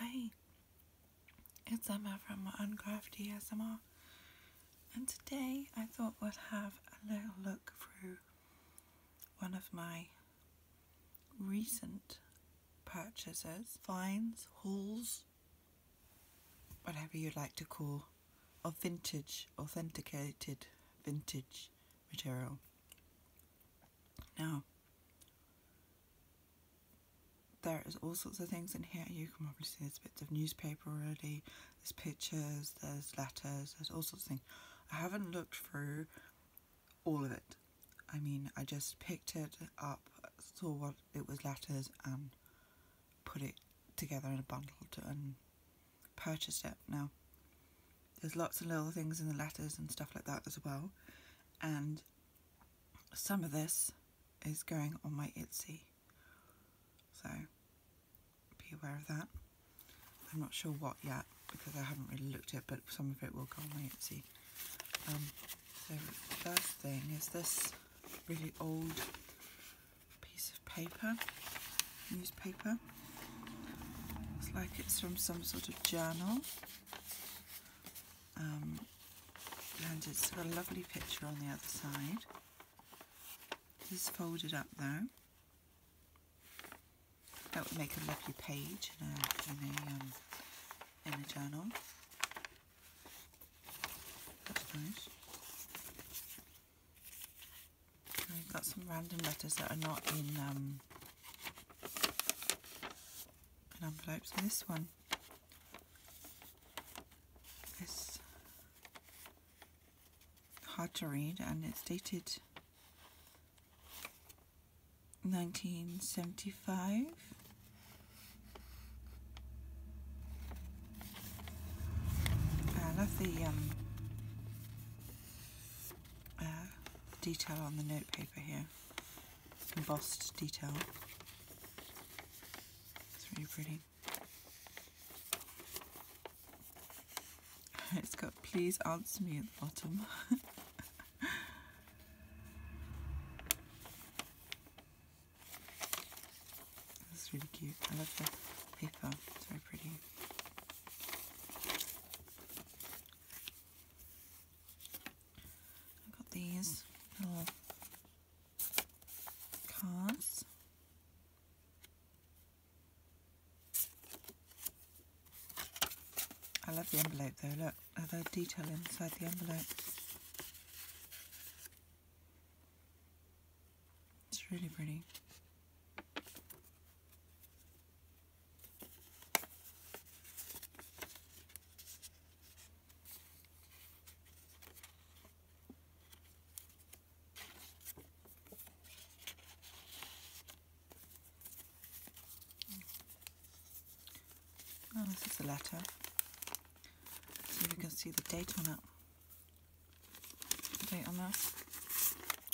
Hi, it's Emma from Uncrafty ASMR, and today I thought we'd have a little look through one of my recent purchases, finds, hauls, whatever you'd like to call, of vintage, authenticated vintage material. Now, there is all sorts of things in here. You can probably see there's bits of newspaper already, there's pictures, there's letters, there's all sorts of things. I haven't looked through all of it. I mean, I just picked it up, saw what it was letters, and put it together in a bundle and purchased it. Now, there's lots of little things in the letters and stuff like that as well. And some of this is going on my Etsy. So be aware of that. I'm not sure what yet because I haven't really looked at it, but some of it will go on my Etsy. Um, so first thing is this really old piece of paper, newspaper. Looks like it's from some sort of journal. Um, and it's got a lovely picture on the other side. Just folded up though. That would make a lovely page um, in a, journal. That's nice. I've got some random letters that are not in um, and I'm envelopes with this one. It's hard to read and it's dated 1975. I love the um, uh, detail on the notepaper here embossed detail. It's really pretty. It's got please answer me at the bottom. It's really cute. I love the paper. It's very pretty. I've got these little cards. I love the envelope though, look at uh, the detail inside the envelope. It's really pretty. Oh, this is the letter. So you can see the date on it. The date on this.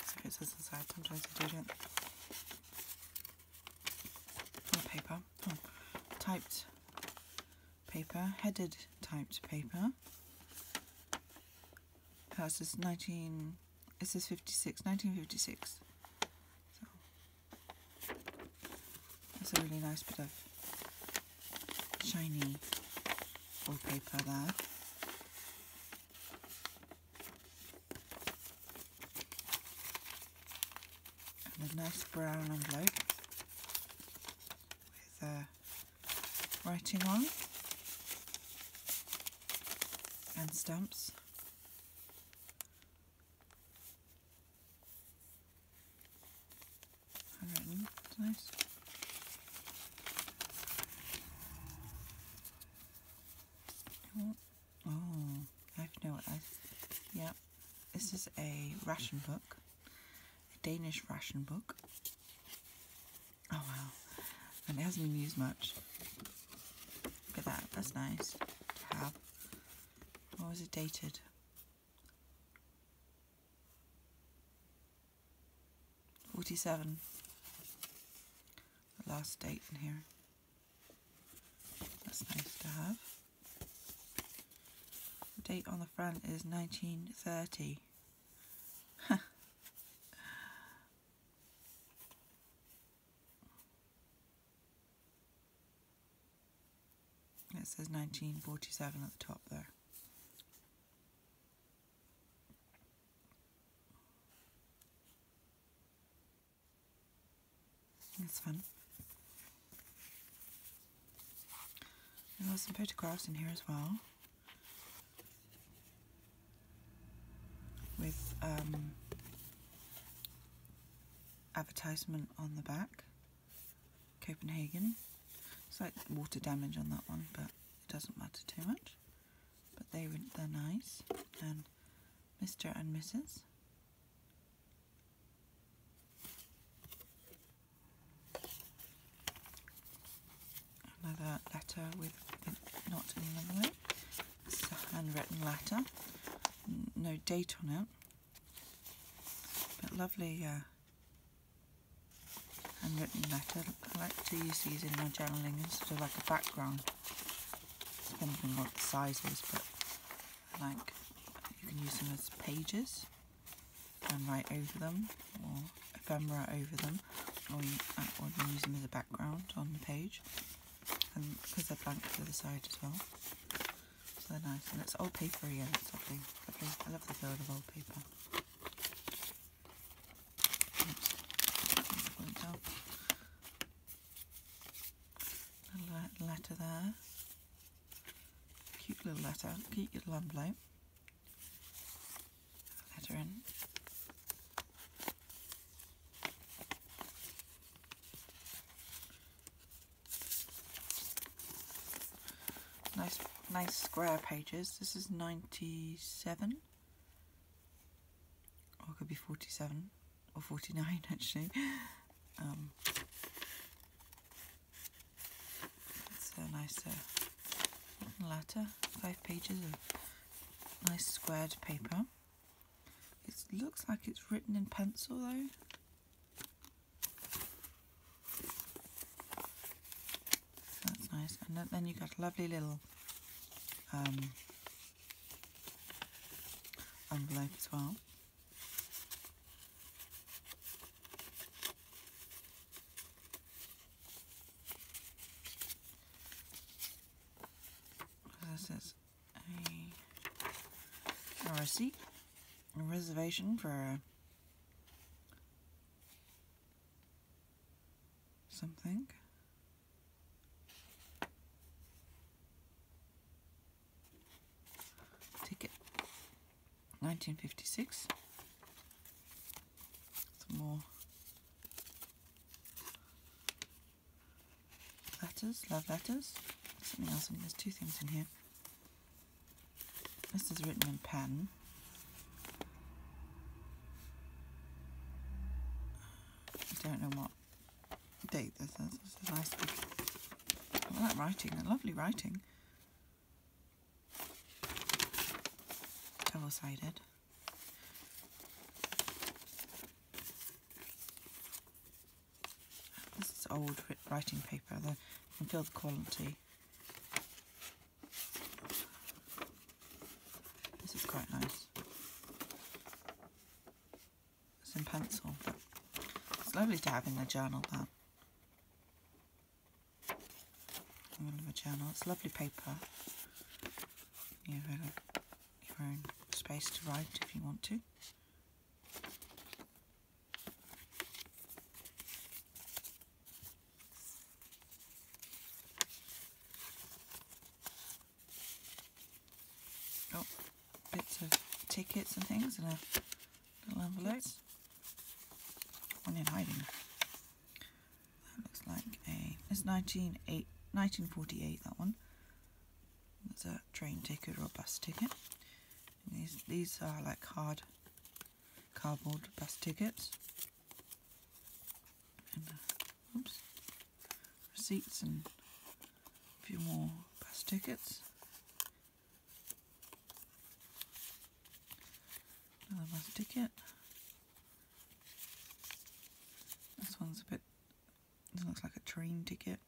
So it inside, sometimes I do it paper. Oh, typed paper. Headed typed paper. Uh, this is 19... It says 56, 1956. that's a really nice bit of shiny wallpaper there. And a nice brown envelope with uh, writing on and stamps. Handwritten, nice. Oh, I've no idea. Yeah, this is a ration book, a Danish ration book. Oh wow, and it hasn't been used much. Look at that, that's nice to have. What was it dated? Forty-seven. last date in here. That's nice to have. The date on the front is 1930. it says 1947 at the top there. That's fun. And there's some photographs in here as well. With um, advertisement on the back. Copenhagen. It's like water damage on that one, but it doesn't matter too much. But they were, are nice. Mr. and Mrs. Another letter with not in the a handwritten letter. No date on it. But lovely uh, handwritten letter. I like to use these in my journaling as sort of like a background depending on what the size is, but I like you can use them as pages and write over them or ephemera over them or uh, use them as a background on the page and because they're blank to the side as well. So they're nice and it's old paper again, it's lovely, lovely. I love the feel of old paper. Little letter there. Cute little letter, cute little envelope. Letter in. Nice, nice square pages. This is 97 or it could be 47 or 49 actually. Um, it's a nice uh, letter, five pages of nice squared paper. It looks like it's written in pencil though. That's nice. And then you got a lovely little um, envelope as well. This is a, a receipt, a reservation for something. Ticket 1956. Some more letters, love letters. Something else there's two things in here. This is written in pen. I don't know what date. This, this, nice. All that writing, that lovely writing. Double-sided. This is old writing paper. The, you can feel the quality. This is quite nice. It's in pencil. But it's lovely to have in a journal that. In the journal. It's lovely paper. You have a, your own space to write if you want to got oh, bits of tickets and things in a little envelope. One in hiding. That looks like a. It's 19, 1948, that one. That's a train ticket or a bus ticket. these, these are like hard cardboard bus tickets. Uh, oops receipts and a few more bus tickets. Another bus ticket. This one's a bit, this looks like a train ticket.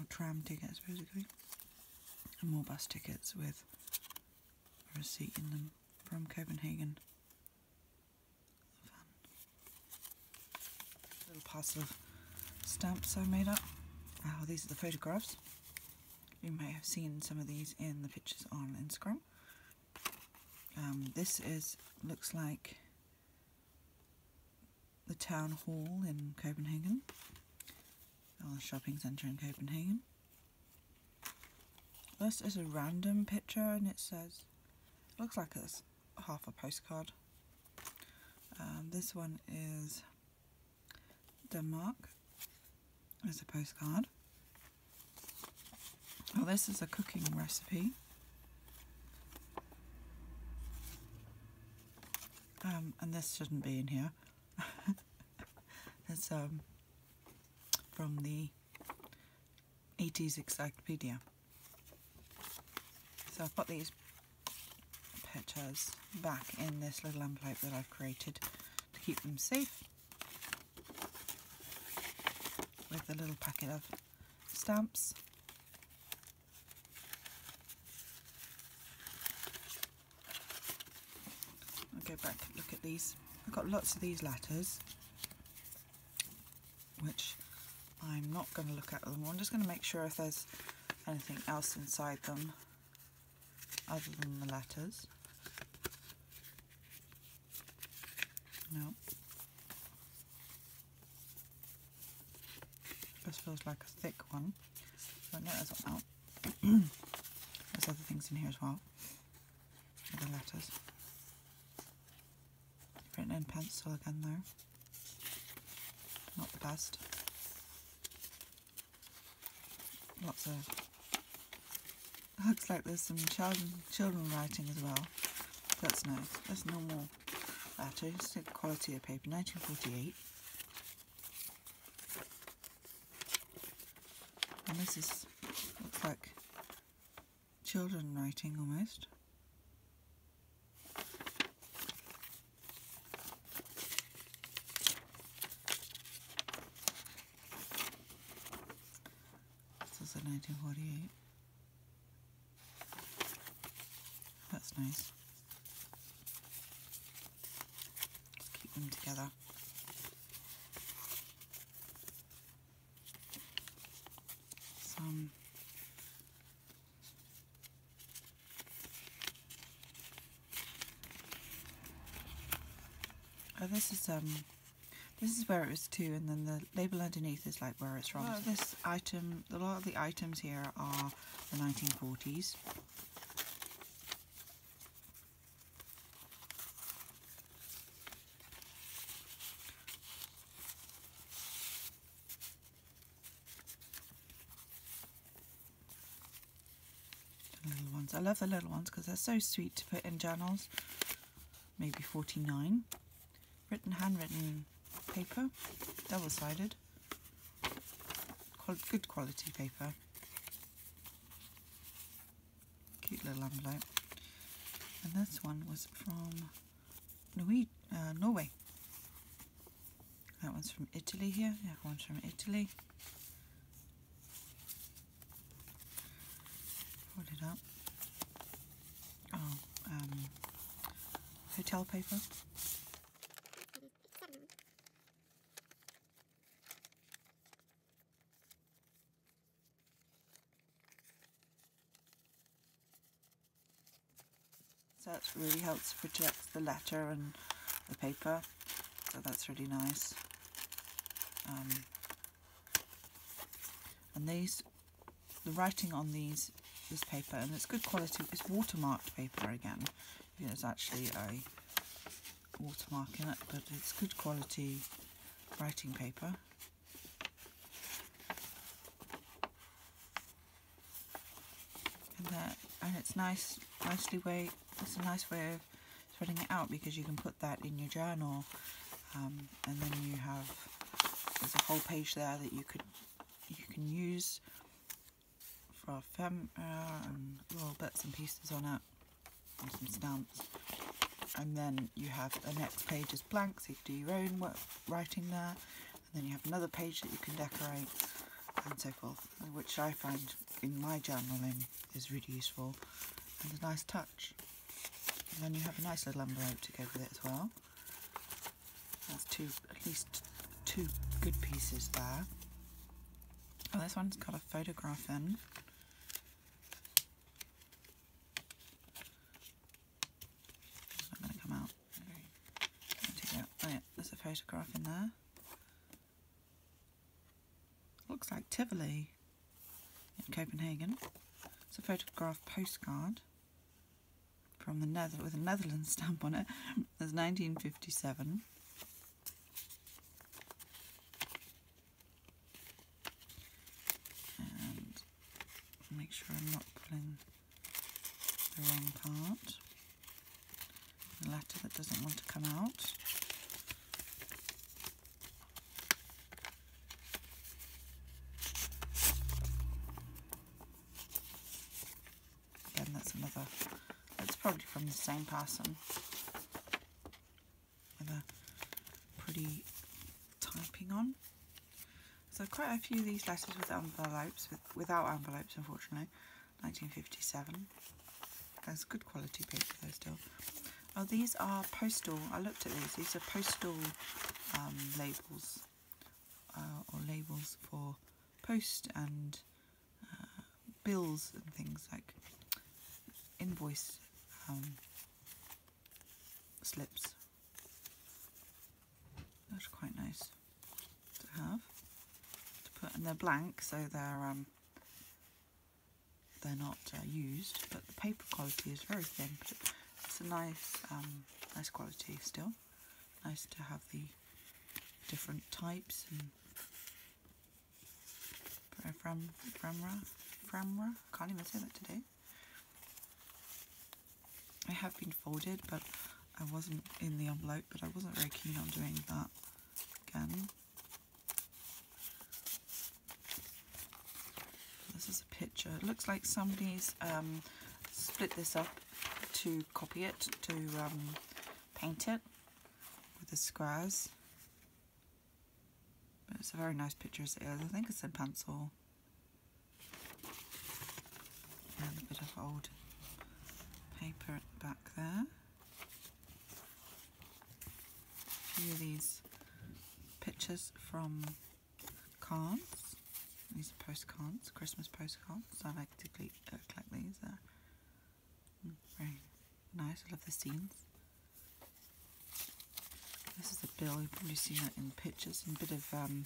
A tram tickets basically, and more bus tickets with a receipt in them from Copenhagen. Little parcel of stamps I made up. Oh, these are the photographs. You may have seen some of these in the pictures on Instagram. Um, this is looks like the town hall in Copenhagen, or the shopping centre in Copenhagen. This is a random picture and it says, looks like it's half a postcard. Um, this one is Denmark as a postcard. Well, this is a cooking recipe. Um, and this shouldn't be in here. it's um, from the 80s Encyclopedia. So I've put these pictures back in this little envelope that I've created to keep them safe with a little packet of stamps I'll go back and look at these. I've got lots of these latters, which I'm not going to look at them. I'm just going to make sure if there's anything else inside them other than the letters. No. This feels like a thick one. But no, out. There's other things in here as well. Other letters. Written in pencil again There, Not the best. Lots of looks like there's some children writing as well. That's nice. That's normal that is the quality of paper, 1948. And this is, looks like children writing almost. This is a 1948. That's nice. keep them together. Some Oh, this is um, this is where it was to, and then the label underneath is like where it's from. this item, a lot of the items here are the 1940s. little ones. I love the little ones because they're so sweet to put in journals. Maybe 49. Written handwritten paper, double-sided good quality paper. Cute little envelope. And this one was from uh, Norway. That one's from Italy here. That one's from Italy. Fold it up. Oh, um, hotel paper. So that really helps protect the letter and the paper. So that's really nice. Um, and these, the writing on these this paper and it's good quality it's watermarked paper again there's actually a watermark in it but it's good quality writing paper and that and it's nice nicely way it's a nice way of spreading it out because you can put that in your journal um, and then you have there's a whole page there that you could you can use for our ephemera uh, and little bits and pieces on it and some stamps and then you have the next page is blank so you can do your own writing there and then you have another page that you can decorate and so forth which I find in my journaling is really useful and a nice touch and then you have a nice little envelope to go with it as well that's two, at least two good pieces there. Oh, this one's got a photograph in. not going to come out. Take out. Oh, yeah, there's a photograph in there. Looks like Tivoli in Copenhagen. It's a photograph postcard from the Nether with a Netherlands stamp on it. There's 1957. And make sure I'm not pulling the wrong part. The letter that doesn't want to come out. Again, that's another, it's probably from the same person with a pretty typing on. So quite a few of these letters with envelopes, without envelopes unfortunately, 1957. That's good quality paper though still. Oh, these are postal, I looked at these, these are postal um, labels uh, or labels for post and uh, bills and things like invoice um, slips. That's quite nice to have to put, and they're blank, so they're um, they're not uh, used. But the paper quality is very thin, it's a nice um, nice quality still. Nice to have the different types and fram, framra, framra, can't even say that today. I have been folded, but I wasn't in the envelope, but I wasn't very keen on doing that again. This is a picture. looks like somebody's um, split this up to copy it, to um, paint it with the squares. But it's a very nice picture as it is. I think it's a pencil. And a bit of old paper at the back there. A few of these pictures from cards. These are postcards, Christmas postcards. I like to uh, collect these. nice. I love the scenes. This is a Billy producing that in pictures. And a bit of um,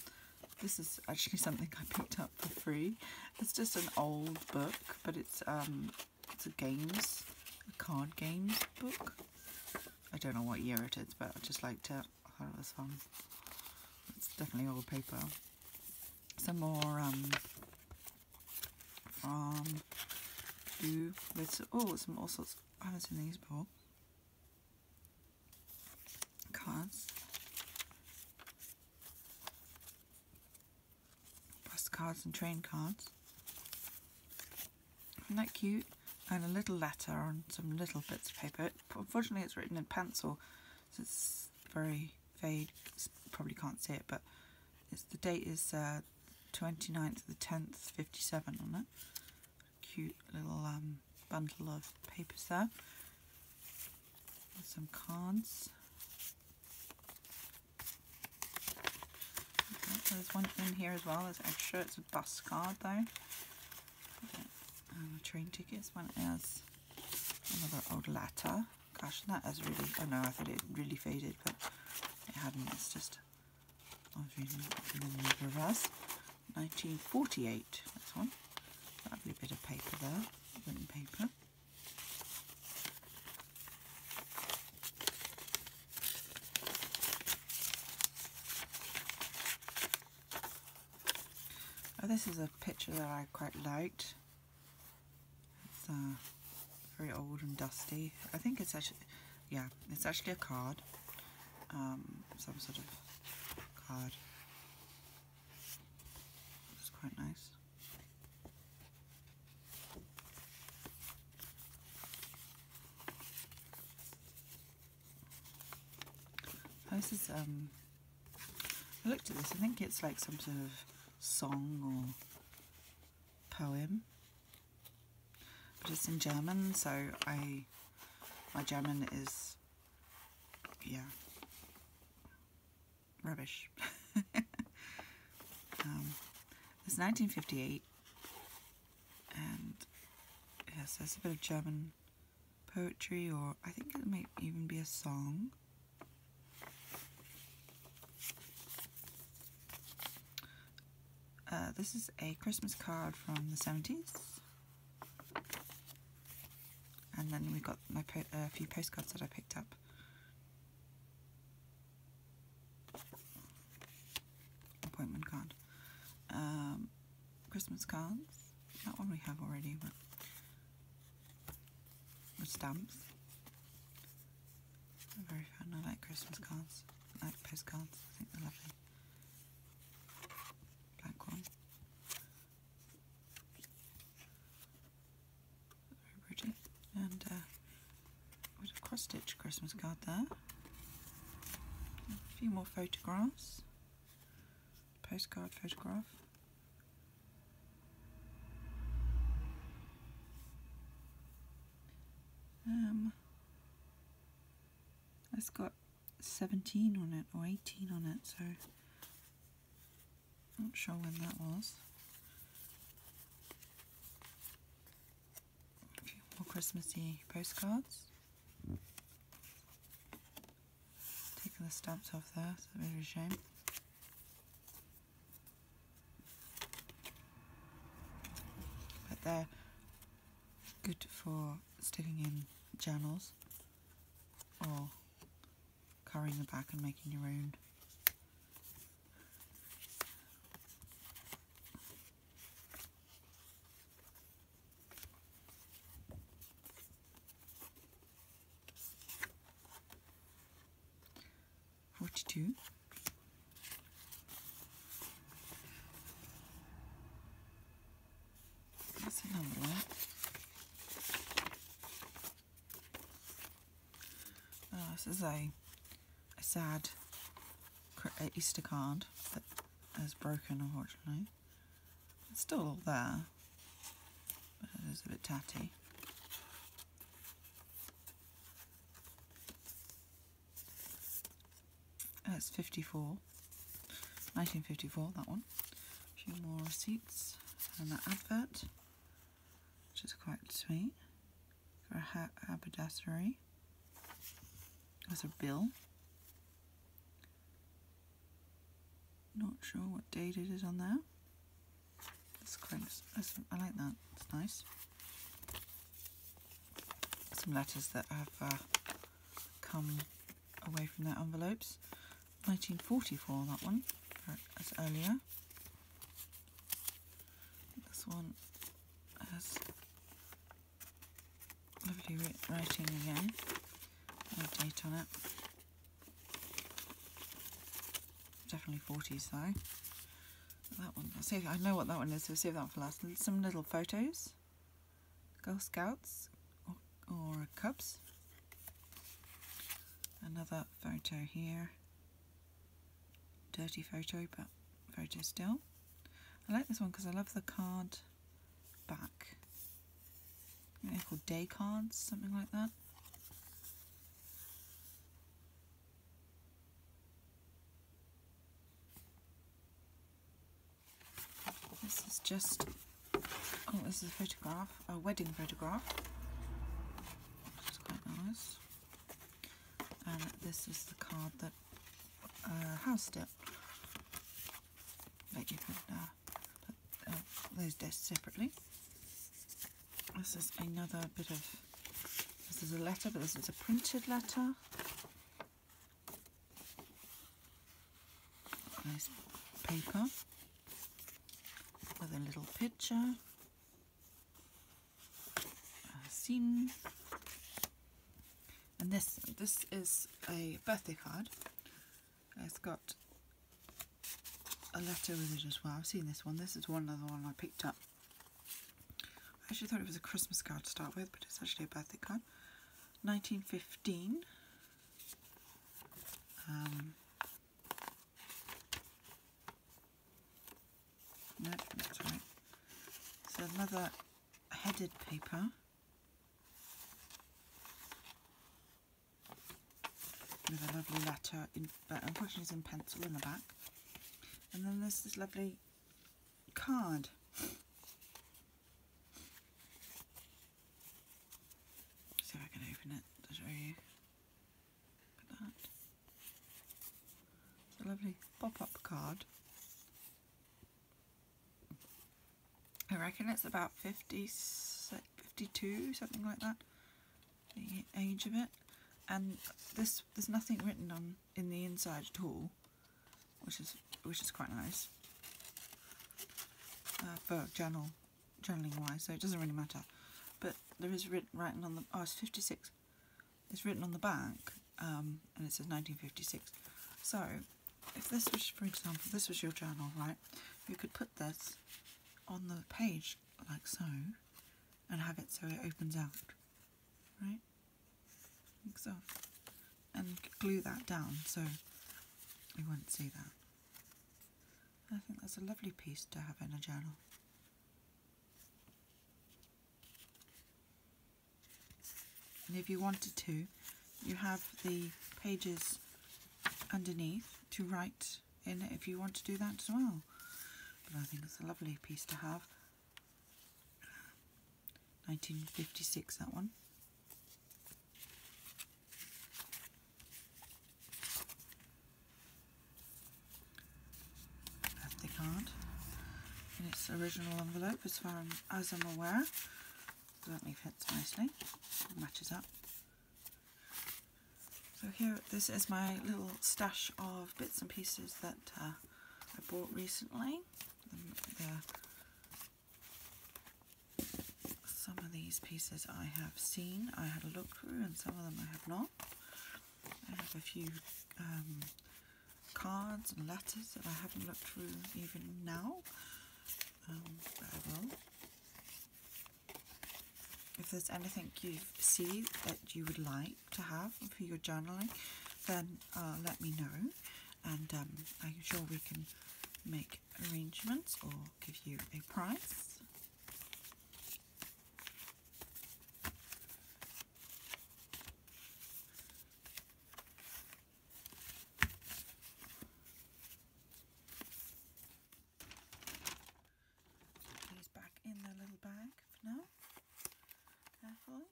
this is actually something I picked up for free. It's just an old book, but it's um, it's a games, a card games book. I don't know what year it is, but I just like to that I thought it was fun. It's definitely old paper. Some more um, from Ooh, there's oh some all sorts I haven't seen these before. Cards. Bus and train cards. Isn't that cute? And a little letter on some little bits of paper. Unfortunately it's written in pencil so it's very vague. probably can't see it, but the date is 29th uh, the 10th, 57 on it. Cute little um, bundle of papers there. some cards. there's one in here as well, there's extra, it's a bus card though. Um, train tickets. One has another old letter. Gosh, that has really, oh no, I thought it really faded, but it has not It's just, I was reading it in the reverse. 1948, that's one. That'll be a bit of paper there, written paper. Oh, this is a picture that I quite liked. It's uh, very old and dusty. I think it's actually, yeah, it's actually a card. Um, some sort of card. It's quite nice. This is, um, I looked at this, I think it's like some sort of song or poem, but it's in German, so I, my German is, yeah, rubbish. Um, it's 1958, and yes, there's a bit of German poetry or I think it might even be a song. Uh, this is a Christmas card from the 70s. And then we have got a few postcards that I picked up. Appointment card. Um, Christmas cards. That one we have already, but stamps. are very fun. I like Christmas cards. I like postcards. I think they're lovely. Black one. Very pretty. And uh, a cross stitch Christmas card there. a few more photographs postcard photograph. Um, it's got 17 on it or 18 on it, so I'm not sure when that was. more Christmassy postcards. Taking the stamps off there, so that's a bit a shame. But they're good for sticking in journals or carrying them back and making your own. 42 that's another one oh, this is a, a sad Easter card that has broken unfortunately it's still all there, but it is a bit tatty. That's 54, 1954, that one. A few more receipts and that advert, which is quite sweet. For a haberdassery. That's a bill. Not sure what date it is on there. That's quite, I like that, it's nice. Some letters that have uh, come away from their envelopes. 1944, that one, as earlier. This one has Lovely writing again. date on it. Definitely 40s though. That one. I'll save, I know what that one is, so we'll save that one for last. Some little photos. Girl Scouts or, or Cubs. Another photo here. Dirty photo, but photo still. I like this one because I love the card back. they called day cards, something like that. This is just, oh, this is a photograph, a wedding photograph, which quite nice. And this is the card that uh, it. But you uh, put uh, those discs separately. This is another bit of, this is a letter, but this is a printed letter. Nice paper with a little picture, a scene, and this this is a birthday card it's got a letter with it as well. I've seen this one. This is one other one I picked up. I actually thought it was a Christmas card to start with, but it's actually a birthday card. 1915. Um, no, that's right. So another headed paper. With a lovely letter, in, uh, unfortunately it's in pencil in the back. And then there's this lovely card. See if I can open it to show you. It's a lovely pop-up card I reckon it's about 50, 52, something like that, the age of it. And this there's nothing written on in the inside at all, which is which is quite nice uh, for journal journaling wise. So it doesn't really matter. But there is written written on the oh it's 56. It's written on the back, um, and it says 1956. So if this was, for example, this was your journal, right, you could put this on the page like so and have it so it opens out, right, like so, and glue that down so you will not see that. I think that's a lovely piece to have in a journal. And if you wanted to, you have the pages underneath to write in if you want to do that as well. But I think it's a lovely piece to have. 1956, that one. Birthday card in its original envelope, as far as I'm aware. So that me fits nicely, matches up. So here, this is my little stash of bits and pieces that uh, I bought recently. some of these pieces I have seen, I had a look through, and some of them I have not. I have a few um, cards and letters that I haven't looked through even now. Um, if there's anything you see that you would like to have for your journaling, then uh, let me know and I'm um, sure we can make arrangements or give you a price. Put these back in the little bag for now. Carefully.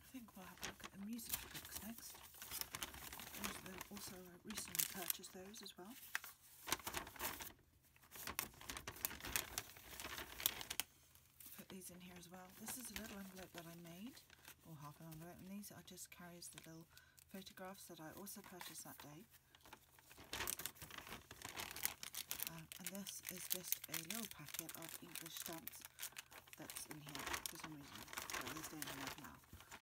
I think we'll have the music books next. And also, recently purchased those as well. Put these in here as well. This is a little envelope that I made, or half an envelope, and these are just carries the little photographs that I also purchased that day. Um, and this is just a little packet of English stamps that's in here for some reason. But they're staying in now.